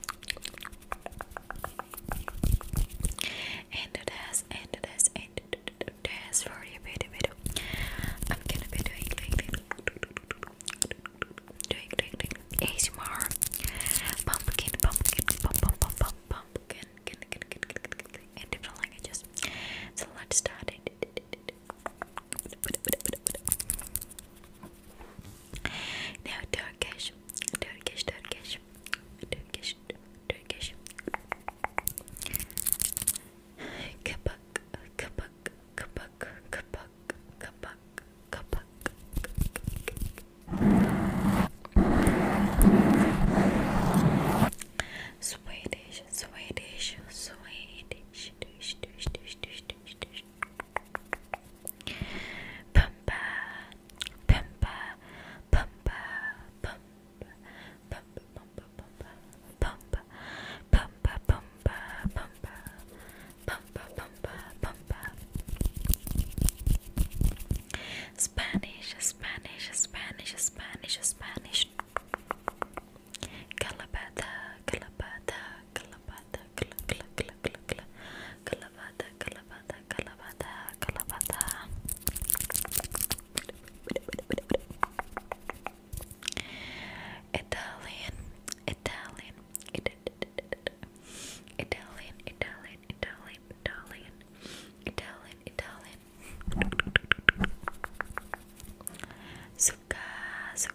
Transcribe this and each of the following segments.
and this and this and this for a video video I'm gonna be doing like this doing like this ASMR pumpkin pumpkin pump pump pump pump pumpkin in different languages so let's start it now Turkish, Turkish, Turkish, Turkish, Turkish. Kapak, kapak, kapak, kapak, kapak, kapak. Swedish, Swedish, Swedish, Swedish, Swedish, Swedish, Swedish, Pumba, pumba, pumba, pumba, pumba, pumba, pumba, pumba, pumba, pumba, pumba, pumba, pumba, Spanish, Spanish, Spanish, Spanish, Spanish. Calabata, calabata, calabata, Kalavata, Kalavata, Kalavata, Kalavata. Italian, Italian, it, it, it, it, Italian, Italian, Italian, Italian, Italian, Italian. Suka, suka,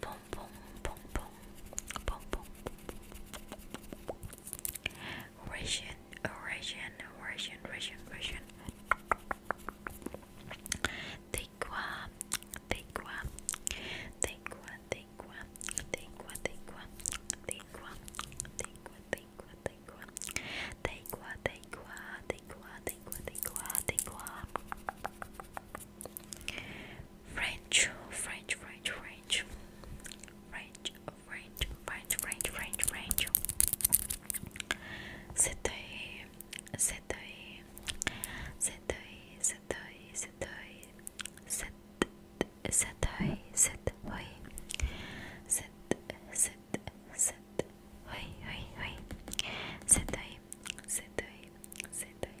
boom, boom, boom, boom, boom, boom. Russian, Russian, Russian, Russian, Russian. take one, take one, take one, take one, take one, take one, take one, take one, take one, take one, take one, take one, take one, take one, take one. French, French, French, French, French, French, French, French, French, French. C'était, c'était, c'était, c'était, c'était, c'était, c'était, c'était, oui, oui, oui. Cet œil, cet œil, cet œil,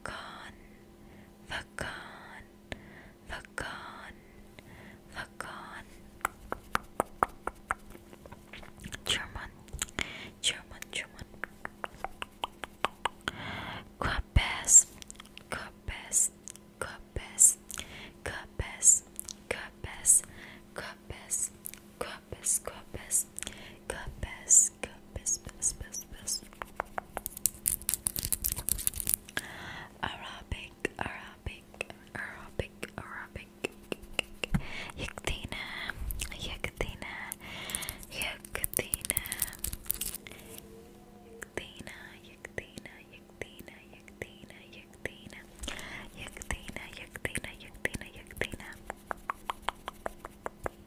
Vakan, Vakan, Vakan, Vakan. German, German, German. Kopes, Kopes, Kopes, Kopes, Kopes, Kopes, Kopes corpus, corpus, corpus, corpus, corpus, corpus. Arabic, Arabic, Arabic, Arabic. Yakdina, Yakdina, Yakdina. Yakdina, Yakdina, Yakdina, Yakdina, Yakdina. Yakdina, Yakdina, Yakdina, Yakdina.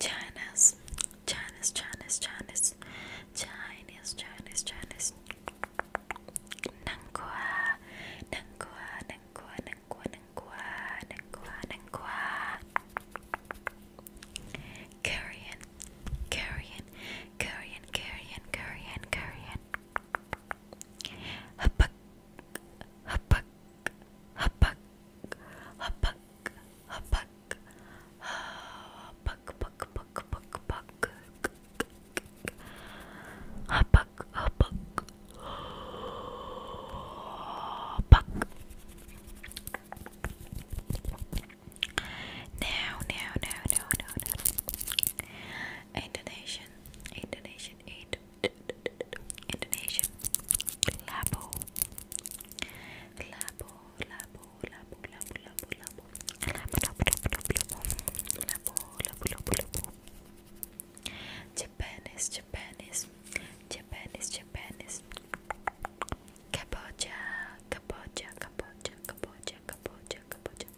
Chinese, Chinese, Chinese, Chinese, Chinese, Chinese, Chinese. Nangua, nangua, nangua, nangua, Ningguá, Ningguá, Ningguá. Korean, Korean, Korean, Korean, Korean, Korean. Hapak, hapak, hapak, hapak, hapak, hapak, pak, pak, pak, pak, hapak, hapak, Buck. Now, now, now, now, now, now. Indonesian, Indonesian, Indo Indonesian. Labo, labo, labo, labo, labo, labo, labo, labo, labo, labo, labo, labo, labo, labo, labo. Japan is Japanese, Japanese, Japanese. Kabocha, kabocha, kabocha, kabocha, kabocha, kabocha,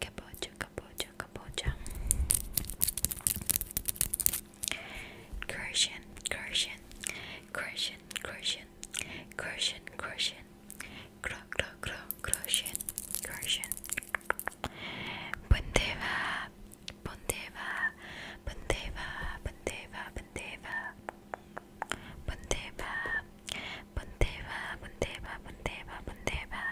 kabocha, kabocha, kabocha, kabocha. Croatian, Croatian, Croatian, Croatian, Croatian, Croatian, Cro, Cro, Cro, Croatian, Croatian. Bundeva, Bundeva, Bundeva, Bundeva, Bundeva, Bundeva, Bundeva, Bundeva, Bundeva, Bundeva,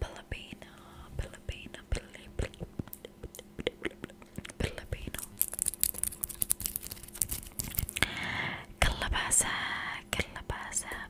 Filipino, Filipino, Filipino, Filipino, Calabasa, Calabasa.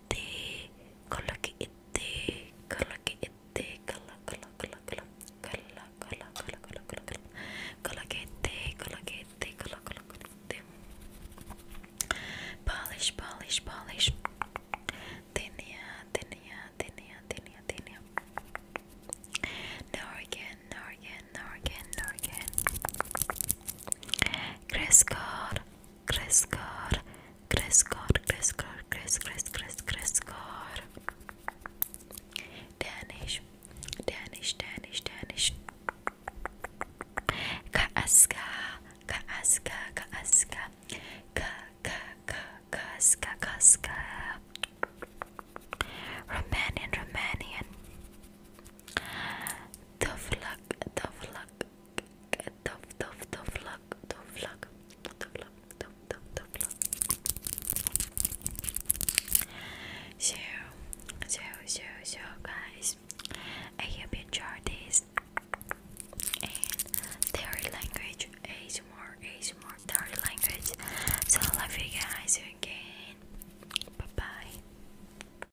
itte kala ki itte kala ki itte kala kala kala kala kala kala kala kala kala kala ki itte kala ki itte kala kala kala itte polish polish polish tenia tenia tenia tenia tenia now again now again now again now again Crescor crezcar, crezcar, crezcar, crez, crez, crez, crezcar. Danish, Danish, Danish, Danish. Kaaska, kaaska, kaaska, ka, ka, ka, kaaska, kaaska. Romanian, Romanian. Dovlak, dovlak, so, so, so, so, guys, I hope you enjoyed this. And theory language, is more theory language. So, I love you guys again. Bye bye.